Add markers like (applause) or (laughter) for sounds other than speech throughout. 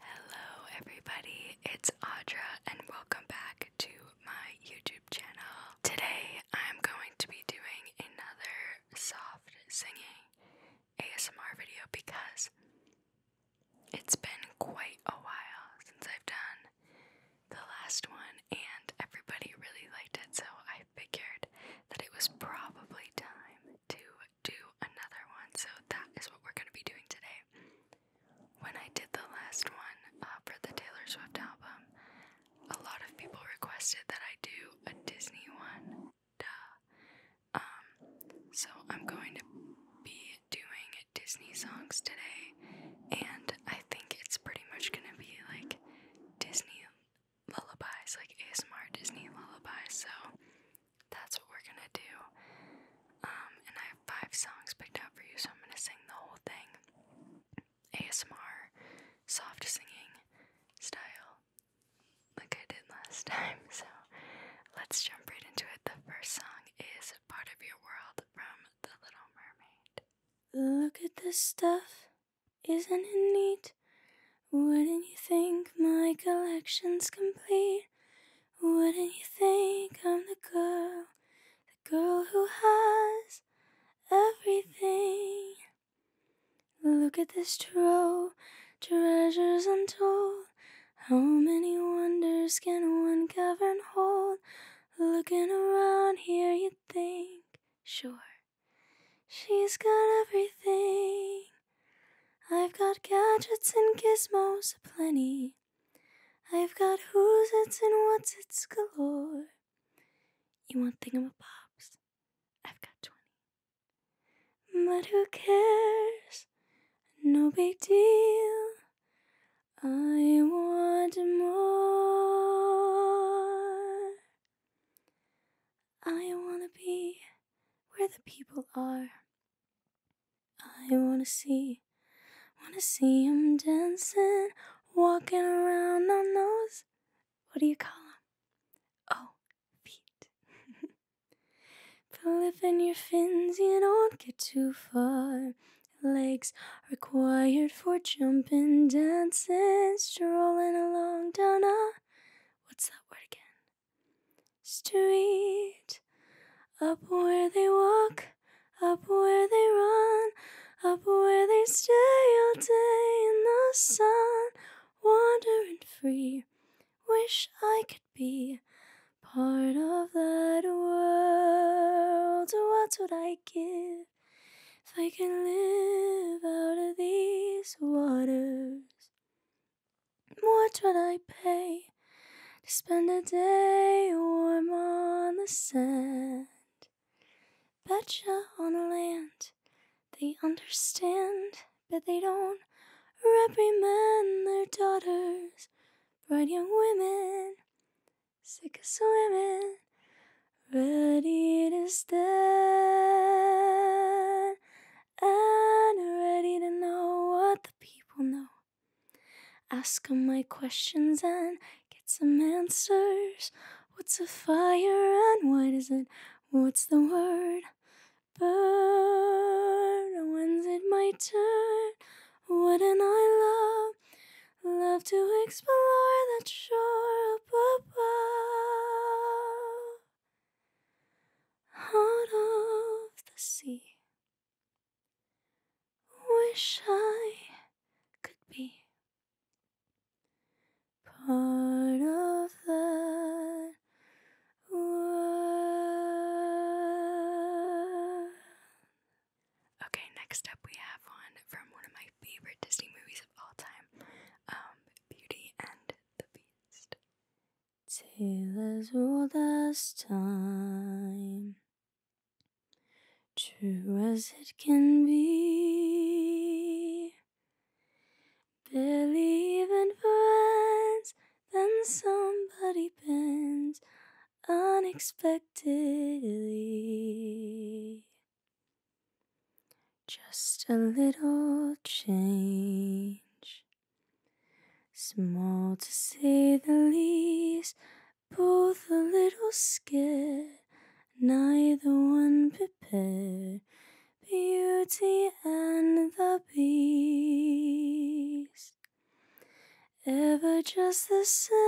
Hello, everybody, it's Audra, and welcome back to my YouTube channel. Today, I'm going to be doing another soft singing ASMR video because it's been quite a while since I've done the last one, and everybody really liked it, so I figured that it was probably time to do another one. So that is what we're going to be doing today. When I did the last one uh, for the Taylor Swift album, a lot of people requested that I do a Disney one. Duh. Um, so I'm going to be doing Disney songs today, and I think it's pretty much going to be like Disney lullabies, like ASMR Disney lullabies. So that's what we're gonna do. Um, and I have five songs picked out for you, so I'm gonna sing the whole thing. ASMR, soft singing style, like I did last (laughs) time. So let's jump right into it. The first song is Part of Your World from The Little Mermaid. Look at this stuff, isn't it neat? Wouldn't you think my collection's complete? Wouldn't you think I'm the girl, the girl who has everything? Look at this trove, treasures untold. How many wonders can one cavern hold? Looking around here, you'd think, sure, she's got everything. I've got gadgets and gizmos aplenty. I've got who's its and what's its galore. You want thingamabobs? I've got 20. But who cares? No big deal. I want more. I want to be where the people are. I wanna see, wanna see him dancing, walking around on those. What do you call them? Oh, feet. Flipping (laughs) your fins, you don't get too far. Legs required for jumping, dancing, strolling along down a. What's that word again? street. Up where they walk, up where they run, up where they stay all day in the sun, wandering free. Wish I could be part of that world. What would I give if I could live out of these waters? What would I pay to spend a day warm on the sand? Betcha on the land, they understand, but they don't reprimand their daughters, bright young women, sick of swimming, ready to stand and ready to know what the people know. Ask 'em my questions and get some answers. What's a fire and what is it? What's the word? Burn. When's it my turn? Wouldn't I love, love to explore that shore up above? out of the sea. Wish I could be part of that world. Okay, next up we have one from one of my favorite Disney movies of all time um, Beauty and the Beast till as old as time, true as it can be. Believe in friends, then somebody bends unexpectedly. Just a little change Small to say the least, both a little scared, neither one prepared. Beauty and the Beast, ever just the same,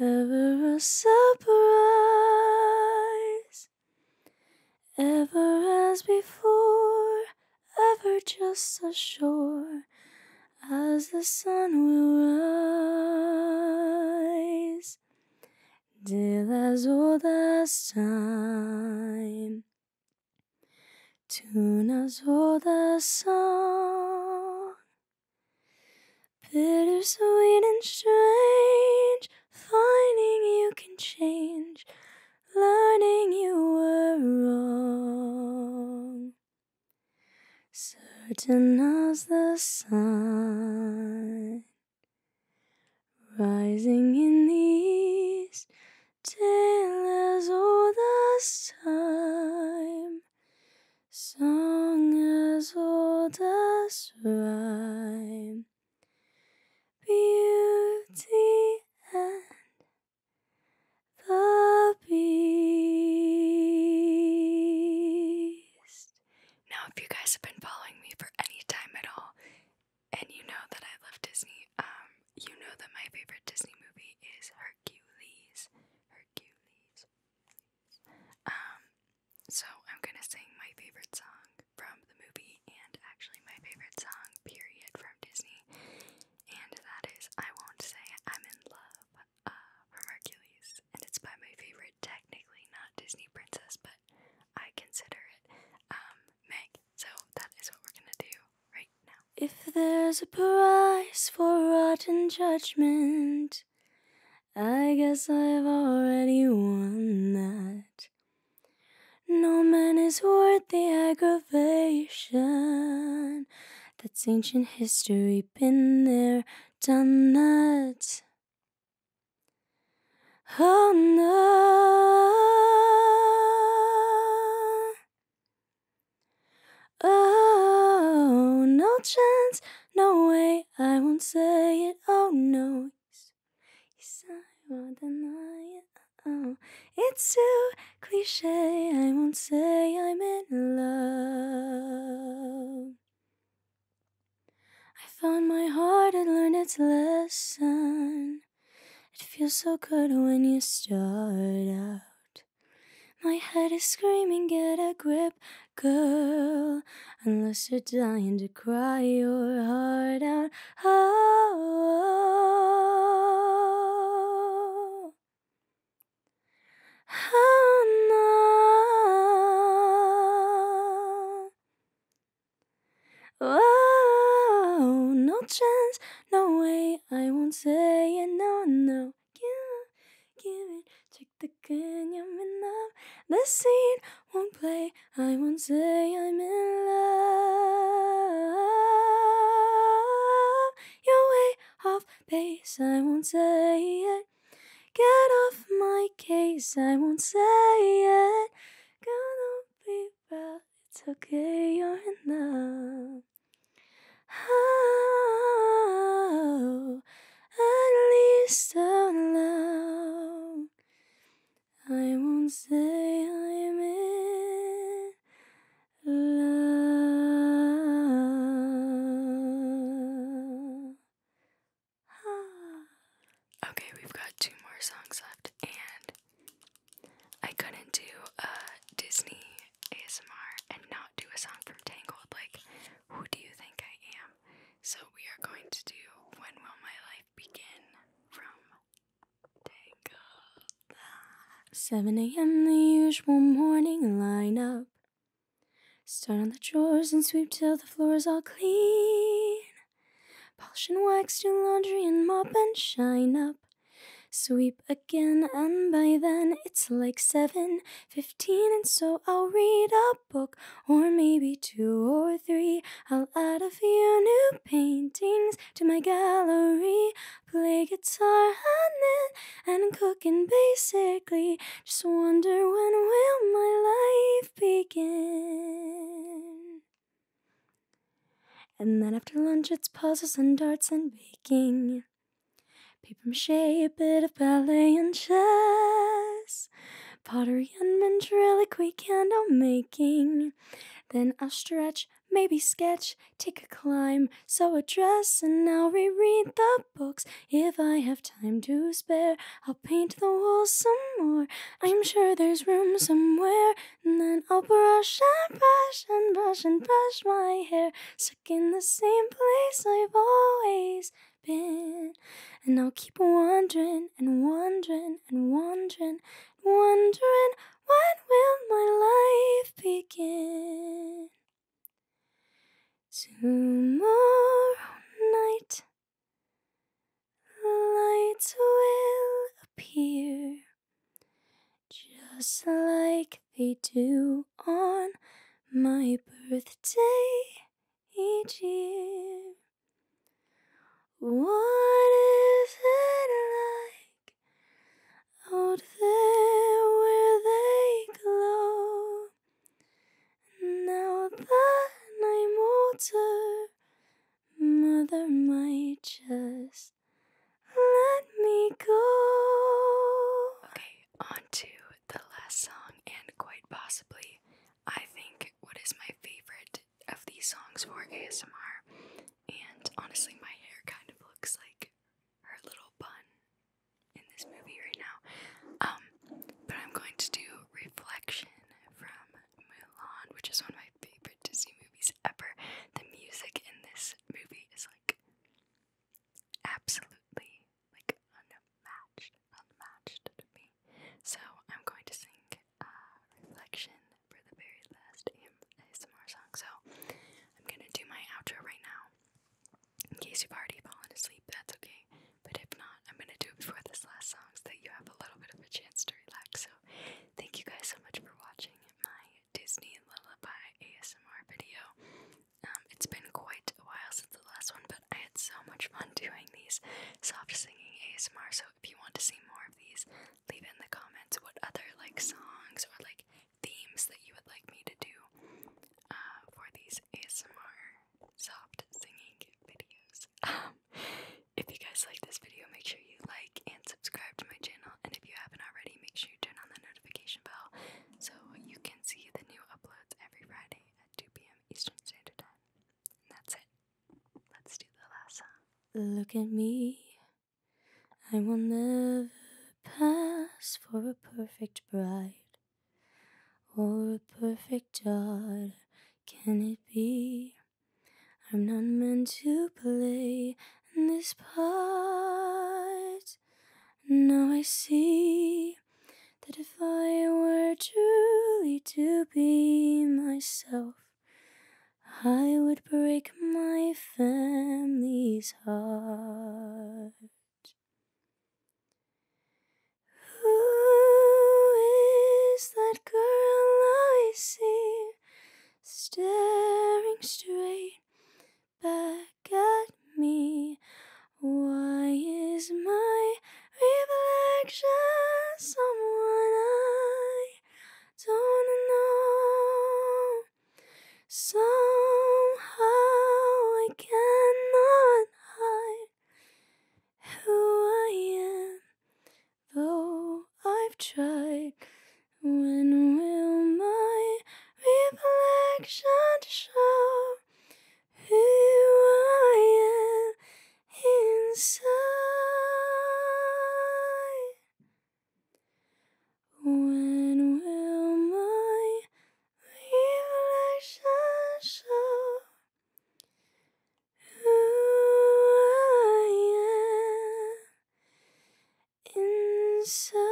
ever a surprise. Ever as before, ever just as sure as the sun will rise, till as old as time, tune as old as song, bitter sweet and strange finding you can change, learning you were wrong. Certain as the sun rising in the east, tale as old as time, song as old as rhyme beauty and the beast. Now, if you guys have been following me for any time at all, and you know that I love Disney, um, you know that my favorite Disney movie is Hercules. Hercules. Um, so I'm gonna sing my favorite song from the movie and actually my favorite song, period, from Disney. And that is I Won't Say I'm in Love uh, from Hercules. And it's by my favorite, technically not Disney princess, but I consider it um, Meg. So that is what we're gonna do right now. If there's a price for rotten judgment, I guess I've already won that. No man is worth the aggravation. That's ancient history, been there, done that. Oh no. Oh, no chance, no way, I won't say it. Oh no, Oh, it's too cliche. I won't say I'm in love. I found my heart and learned its lesson. It feels so good when you start out. My head is screaming, get a grip, girl unless you're dying to cry your heart out. Oh, oh, no. Oh, no chance, no way, I won't say it, no, no. Give, give it, check the gun, you're in love. The scene won't play I won't say I'm in love. You're way off base, I won't say it. Get off my case, I won't say it. Gonna be bad, it's okay, you're in love. Oh, at least alone. I won't say I'm in love. Okay, we've got two more songs left, and I couldn't do a Disney ASMR and not do a song from Tangled. Like, who do you think I am? So, we are going to do When Will My Life begin from Tangled. 7 a.m. the usual morning lineup. Start on the drawers and sweep till the floor is all clean. Polish and wax, do laundry and mop and shine up. Sweep again, and by then it's like 7:15, and so I'll read up book, or maybe two or three. I'll add a few new paintings to my gallery. Play guitar on it and cooking basically. Just wonder when will my life begin? And then after lunch, it's puzzles and darts and baking. Paper mache, a bit of ballet and chess pottery and ventriloquy candle making. Then I'll stretch, maybe sketch, take a climb, sew a dress, and I'll reread the books. If I have time to spare, I'll paint the walls some more. I'm sure there's room somewhere. And then I'll brush and brush and brush and brush my hair, stuck in the same place I've always been and I'll keep wandering and wandering and wandering, wondering when will my life begin? Tomorrow night, lights will appear, just like they do on my birthday each year. What is it like out there where they glow? Now that I'm older, Mother might just let me go. Okay, on the last song, and quite possibly, I think, what is my favorite of these songs for ASMR, and honestly, my hair kind of looks like her little bun in this movie right now. Um, but I'm going to do Reflection from Mulan, which is one of my favorite Disney movies ever. The music in this movie is like absolutely like unmatched unmatched to me. So I'm going to sing uh, Reflection for the very last ASMR song. So I'm going to do my outro right now. In case you've already fallen asleep, that's okay. But if not, I'm going to do it before this last song so that you have a little bit of a chance to relax. So thank you guys so much for watching my Disney Lullaby ASMR video. Um, it's been quite a while since the last one, but I had so much fun doing these soft singing ASMR, so if you want to see more of these, leave in the comments what other like songs or like themes that you would like me to do uh, for these ASMR soft singing videos. (laughs) Um, if you guys like this video, make sure you like and subscribe to my channel. And if you haven't already, make sure you turn on the notification bell so you can see the new uploads every Friday at 2 p.m. Eastern Standard Time that's it. Let's do the last Look at me. I will never pass for a perfect bride or a perfect daughter. Can it be? I'm not meant to play in this part. Now I see that if I were truly to be myself, I would break my family's heart. Who is that girl I see staring straight back at me? Why is my reflection, someone I don't know. Somehow I cannot hide who I am, though I've tried. When will my reflection show who I am? inside. When will my reflection show who inside?